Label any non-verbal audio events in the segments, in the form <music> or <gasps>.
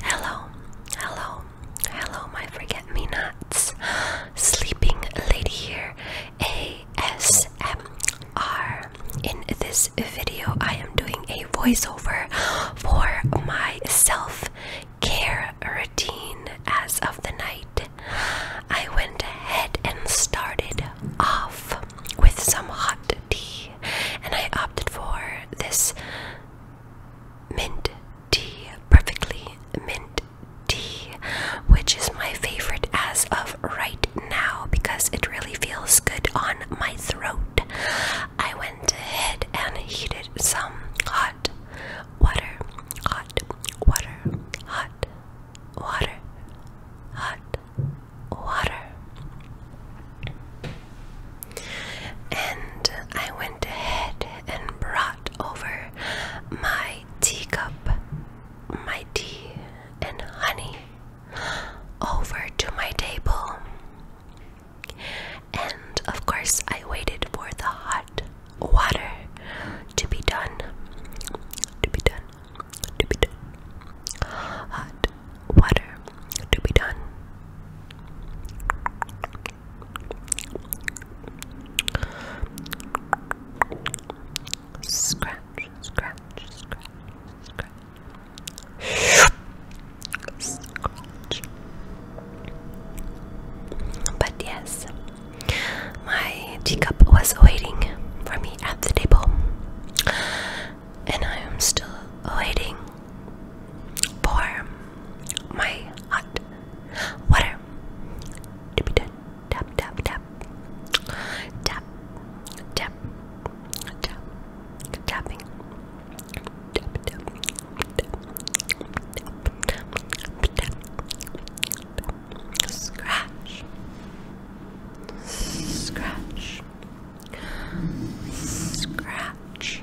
Hello, hello, hello, my forget me nots. <gasps> Sleeping lady here, ASMR. In this video, I am doing a voiceover for my self care routine as of the night. I went ahead and started off with some hot tea, and I opted for this mint tea, perfectly mint tea, which is my favorite as of right now because it really feels good on my throat. I went ahead and heated some hot water, hot water, hot water, hot water. And I went ahead and brought over my teacup, my tea, and honey over to my table. And of course, I waited for the hot water to be done. To be done. To be done. Hot water to be done. Scratch, scratch, scratch, but yes, my teacup was waiting for me at the table, and I am still waiting for my hot water Tap, tap, tap, tap, tap, tap, tapping, tap, tap, tap, tap, tap, tap, scratch, scratch, scratch, scratch.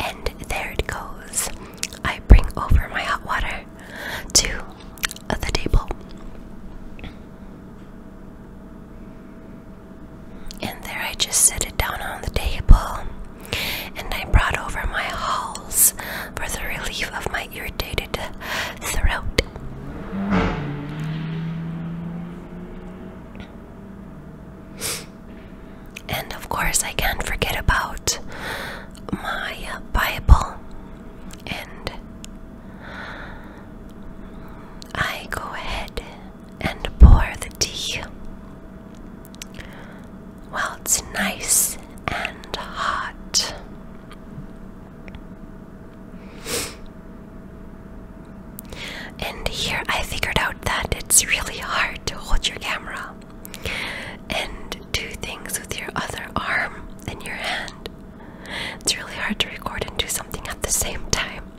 And there it goes. I bring over my hot water to the table. And there I just set it down on the table. And I brought over my halls for the relief of my irritated throat. And of course, I can't forget about my Bible. And I go ahead and pour the tea. while it's nice and hot. And here I figured out that it's really hard to hold your camera and do things with your other arm and your hand. It's really hard to record and do something at the same time.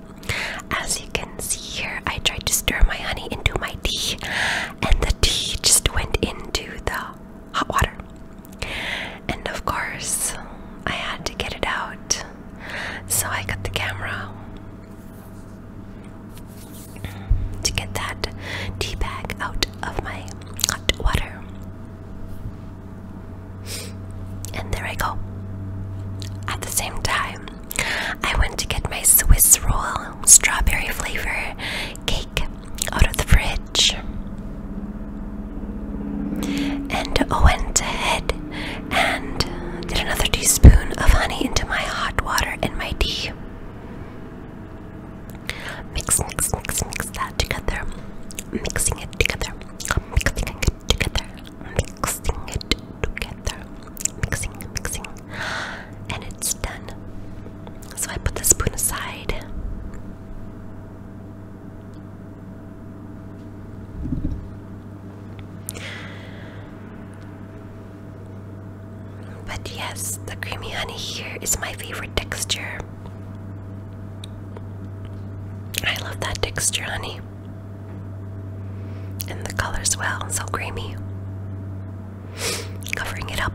As you can see here, I tried to stir my honey into my tea, and the tea just went into the hot water. And of course, I had to get it out. So I got the camera to get that tea bag out of my hot water. And there I go. At the same time, I went to get my Swiss roll strawberry flavor cake out of the fridge. And I went ahead and did another teaspoon of honey into my hot water and my tea. Mix, mix, mix, mix that together. Mixing it together. Mixing it together. Mixing it together. Mixing, mixing. And it's done. So I put the spoon aside. But yes, the creamy honey here is my favorite texture. I love that texture, honey. And the colors, well, so creamy. Covering it up.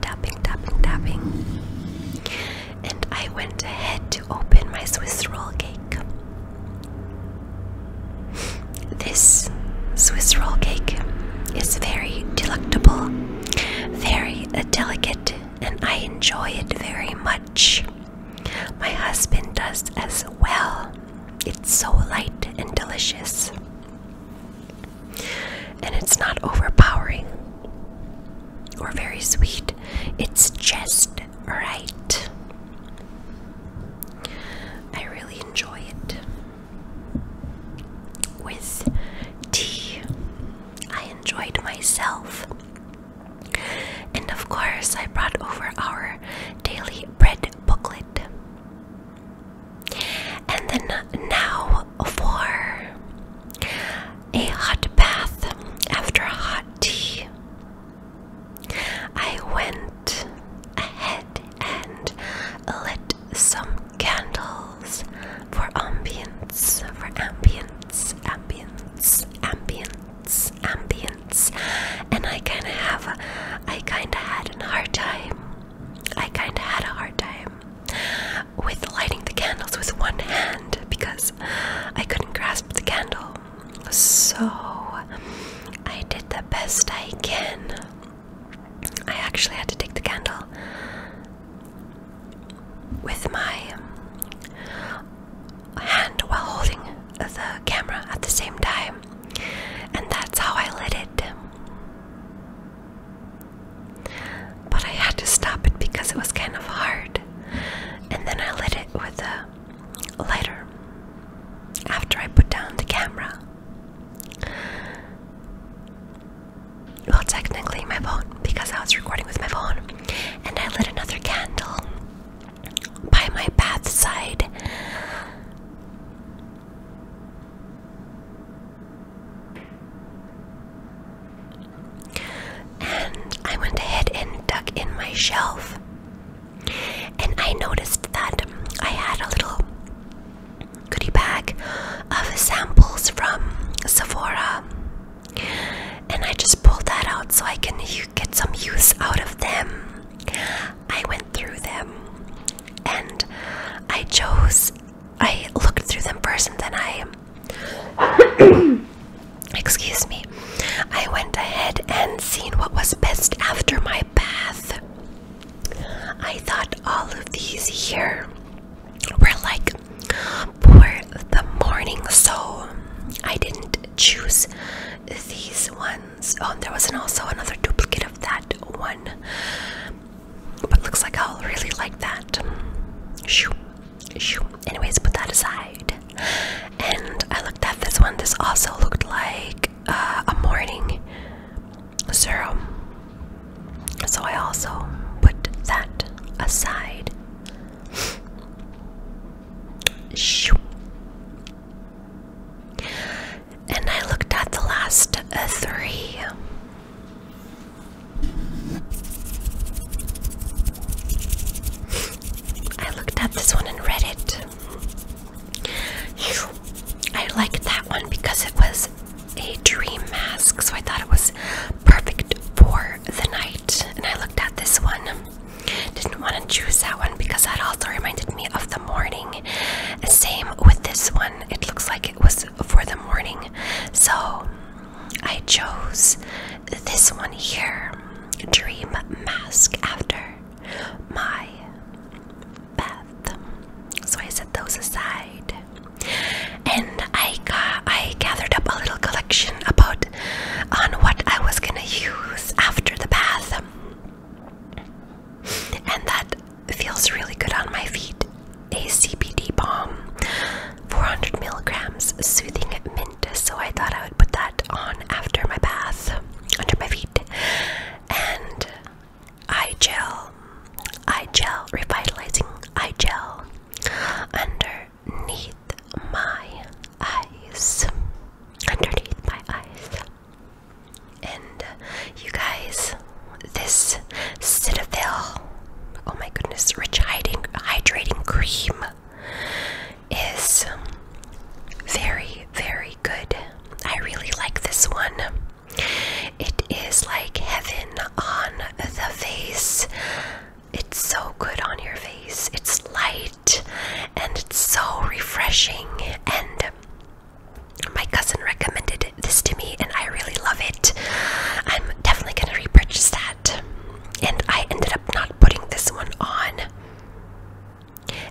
Tapping, tapping, tapping and I went ahead to open my Swiss roll cake. This Swiss roll cake is very delectable, very delicate, and I enjoy it very much. My husband does as well. It's so light and delicious. And it's not overpowering or very sweet. It's just right. I really enjoy it. With tea, I enjoyed myself. And of course, I brought over our daily bread booklet. And then now for a hot bath after a hot tea. I went ahead and lit some candles for ambience, for ambience, ambience, ambience, ambience. And I kind of have, a, I kind of had a hard time. I kind of had a hard time with lighting the candles with one hand because I couldn't grasp the candle. So I did the best I can. I actually had to take the candle with my hand while holding the camera at the same time, and that's how I lit it. But I had to stop it because it was kind of hard. And then I lit it with a lighter after I put down the camera. Well, technically, my phone, because I was recording with my phone. And I lit another candle by my bath side. And I went ahead and dug in my shelf. And I noticed that I had a little goody bag of samples from Sephora. And I just pulled that out so I can get some use out of them. I went through them and I chose, I looked through them first and then I <coughs> Excuse me. I went ahead and seen what was best after my bath. I thought all of these here were like for the morning, so I didn't choose these ones. Oh, there wasn't also another duplicate of that one. But looks like I'll really like that. Shoo, shoo. Anyways, put that aside. And I looked at this one. This also looked like uh, a morning serum. So I also put that aside. Shoo. And I looked at the last uh, three. I looked at this one and read it. I liked that one because it was a dream mask, so I thought it was perfect for the night. And I looked at this one. Didn't want to choose that one because that also reminded me of the morning. Same with this one. It looks like it was for the morning. So I chose this one here Dream Mask after my bath. So I set those aside. And I got I gathered up a little collection about on what I was gonna use after the bath. And that feels really good on my feet a CBD balm, 400 milligrams soothing mint. So I thought I would put that on after my bath, under my feet. And eye gel, eye gel, revitalizing eye gel underneath my eyes. Underneath my eyes. And you guys, this Citadel. Oh my goodness, rich hydrating cream is very, very good. I really like this one. It is like heaven on the face. It's so good on your face. It's light and it's so refreshing. And my cousin recommended it this to me and I really love it. I'm definitely gonna repurchase that. And I ended up not putting this one on.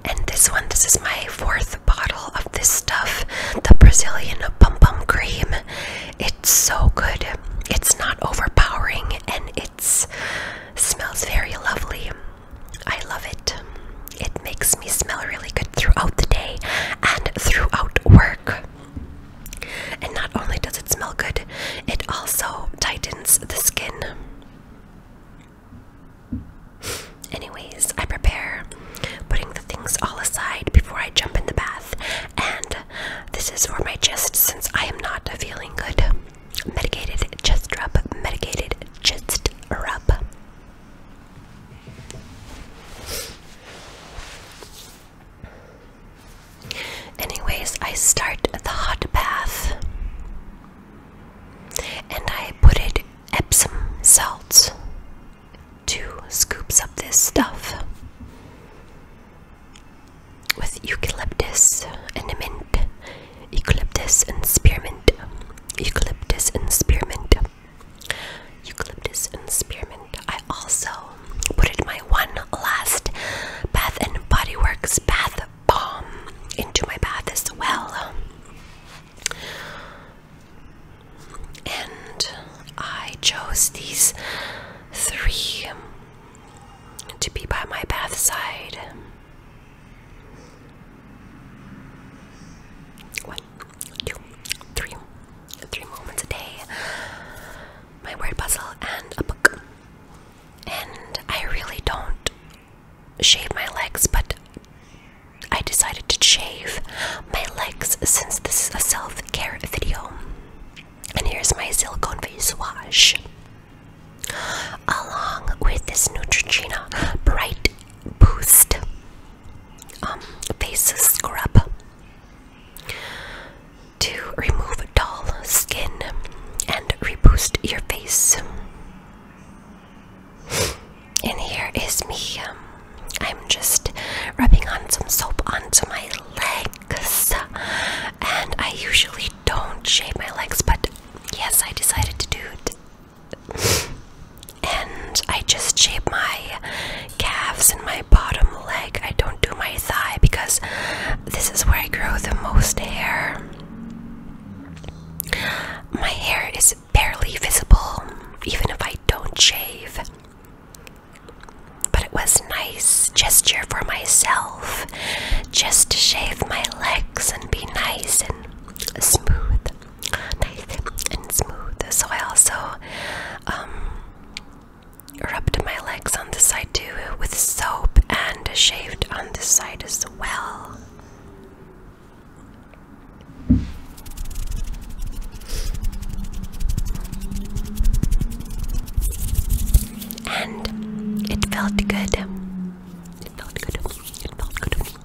And this one, this is my fourth bottle of this stuff, the Brazilian Pum Pum Cream. It's so good. It's not overpowering and it's smells very lovely. I love it. It makes me smell really good throughout the day and throughout work. And not only does it smell good, it also tightens the skin. Anyways, I prepare putting the things all aside before I jump in the bath. And this is for my chest since I am not feeling good. Medicated chest rub, medicated chest rub. Anyways, I start the hot bath and I put it Epsom salts, two scoops of this stuff with eucalyptus and mint, eucalyptus and spearmint, eucalyptus and spearmint eucalyptus and spearmint. I also put my one last Bath and Body Works bath bomb into my bath as well. And I chose these three to be by my bath side one, two, three, three moments a day, my word puzzle, and a book. And I really don't shave my legs, but I decided to shave my legs since this is a self care video. And here's my silicone face wash. Along with this Neutrogena Bright Boost um, face scrub to remove dull skin and reboost your face. And here is me. Um, I'm just rubbing on some soap onto my legs, and I usually don't shave my legs, but yes, I decided to do it and I just shave my calves and my bottom leg. I don't do my thigh because this is where I grow the most hair. My hair is barely visible, even if I don't shave. But it was nice gesture for myself just to shave my legs and be nice and smooth nice and smooth. So I also um, rubbed my legs on the side too with soap and shaved on this side as well. And it felt good. It felt good. It felt good.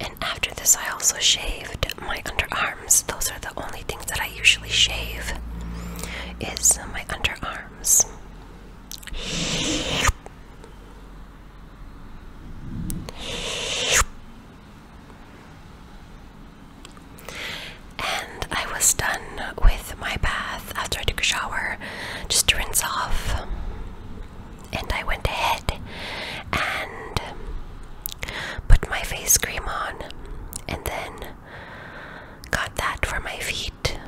And after this, I also shaved my underarm. Those are the only things that I usually shave is my underarms. And I was done with my bath after I took a shower just to rinse off. And I went ahead and put my face cream on, and then got that for my feet.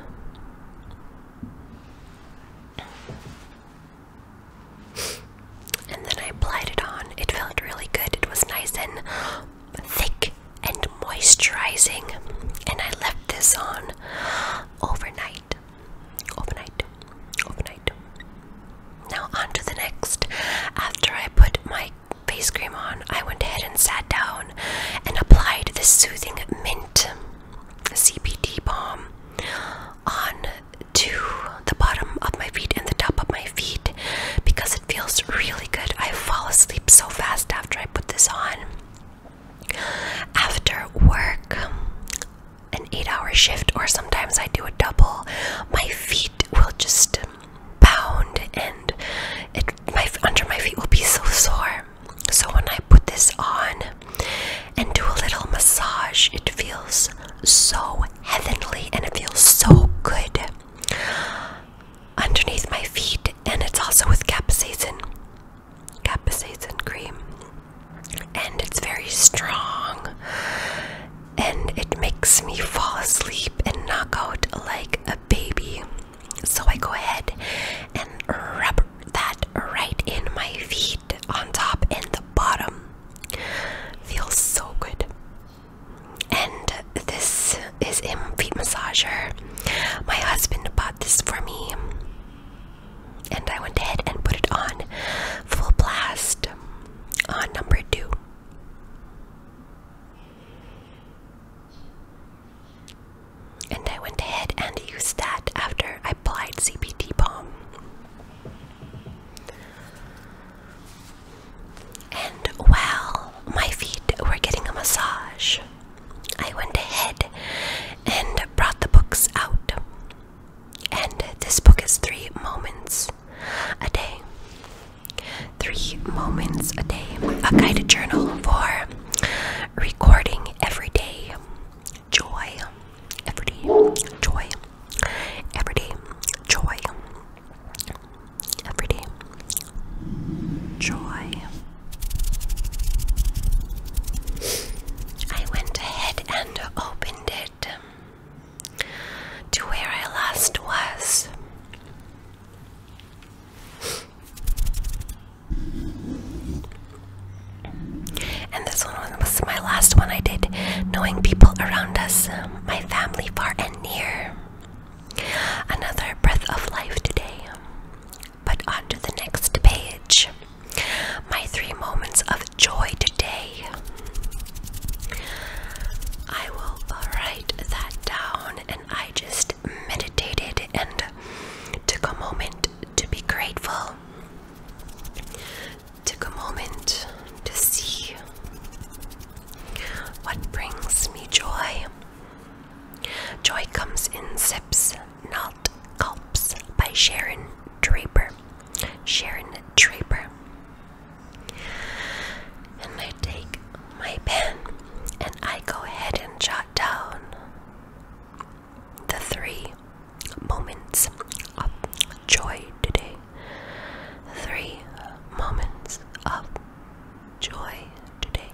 And then I applied it on. It felt really good. It was nice and thick and moisturizing. And I left this on overnight. Overnight. Overnight. Now, on to the next. After I put my face cream on, I went ahead and sat down and applied the soothing mint CBD balm on to the bottom of my feet and the top of my feet because it feels really good. I fall asleep so fast after I put this on. After work, an eight hour shift, or sometimes I do a double, my feet will just pound and it my under my feet will be so sore. So when I put this on and do a little massage, it feels so heavenly and it feels so good underneath my feet and it's also with capsaicin capsaicin cream and it's very strong and it makes me fall asleep and knock out like a baby. So I go ahead and rub that right in my feet on top and the bottom. Feels so good. And this is a feet massager. My husband bought this for me. And I went ahead and put it on full blast on number two. And I went ahead and used that after I applied CBD balm. And well, my feet were getting a massage, I went ahead and brought the books out. And this book is Three Moments a day. Three moments a day. A guided journal for recording every day. Joy. Every day. Joy. Every day. Joy. Every day. Joy. I went ahead and opened it to where I last was. And this one was my last one I did, knowing people around us, my family far and near. Another breath of life today. But on the next page. My three moments of joy today. I will write that down and I just meditated and took a moment to be grateful. Took a moment to see what brings me joy. Joy comes in sips, not gulps, by Sharon Draper. Sharon Draper. And I take my pen and I go ahead and jot down the three moments of joy today. Three moments of joy today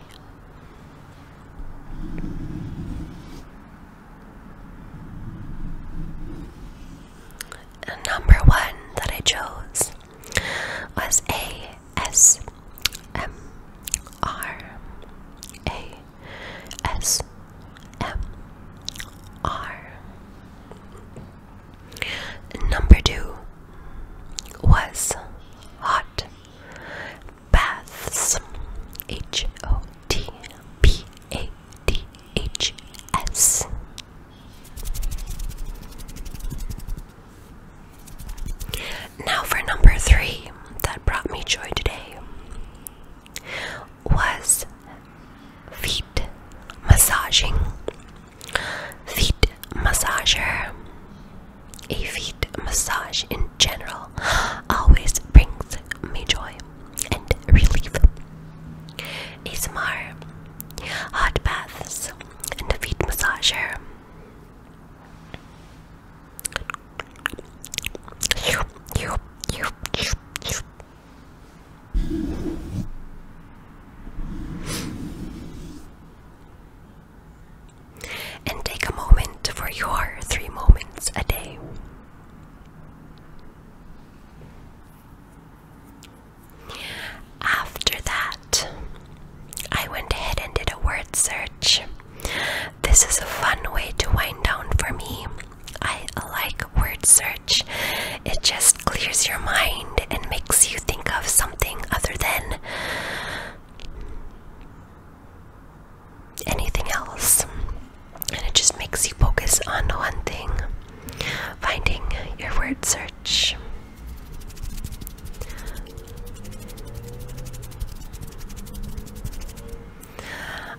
number one that I chose was A S M R A S M R. Number two was hot baths. H O T B A D H S now, for number three that brought me joy today was feet massaging. Feet massager. A feet massage in general <gasps> always brings me joy and relief. ASMR, hot baths, and a feet massager. And take a moment for your three moments a day. After that, I went ahead and did a word search. This is a fun way to wind down for me. I like word search. It just clears your mind and makes you think of something other than anything else and it just makes you focus on one thing finding your word search.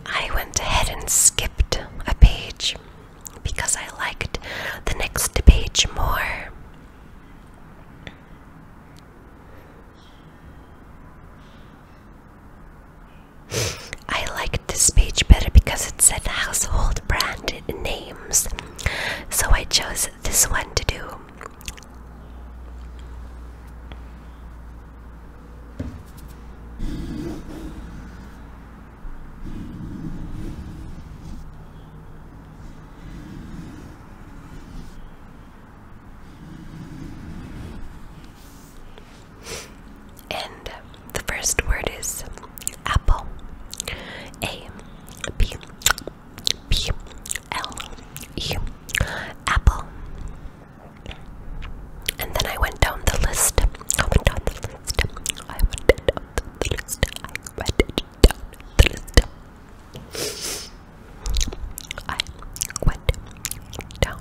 I went ahead and skipped a page because I liked the next page more. I liked this page better because it said household brand names, so I chose this one to do. And the first word is apple. A B B L E apple. And then I went down the list down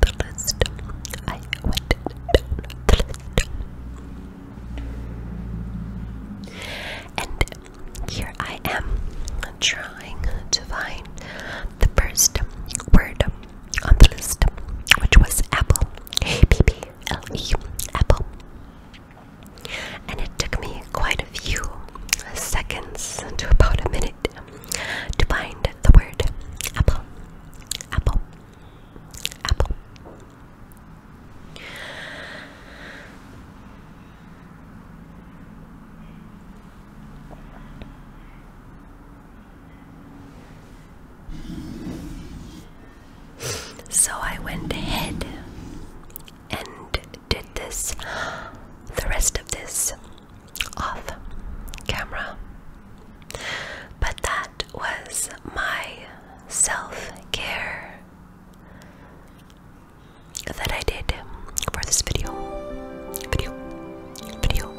the list. I went down the list. And here I am trying to find the first word on the list, which was apple. A-P-P-L-E. Apple. And it took me quite a few seconds to about a minute to find the word apple. Apple. Apple. So I went ahead and did this, the rest of this off camera. But that was my self care that I did for this video. Video. Video.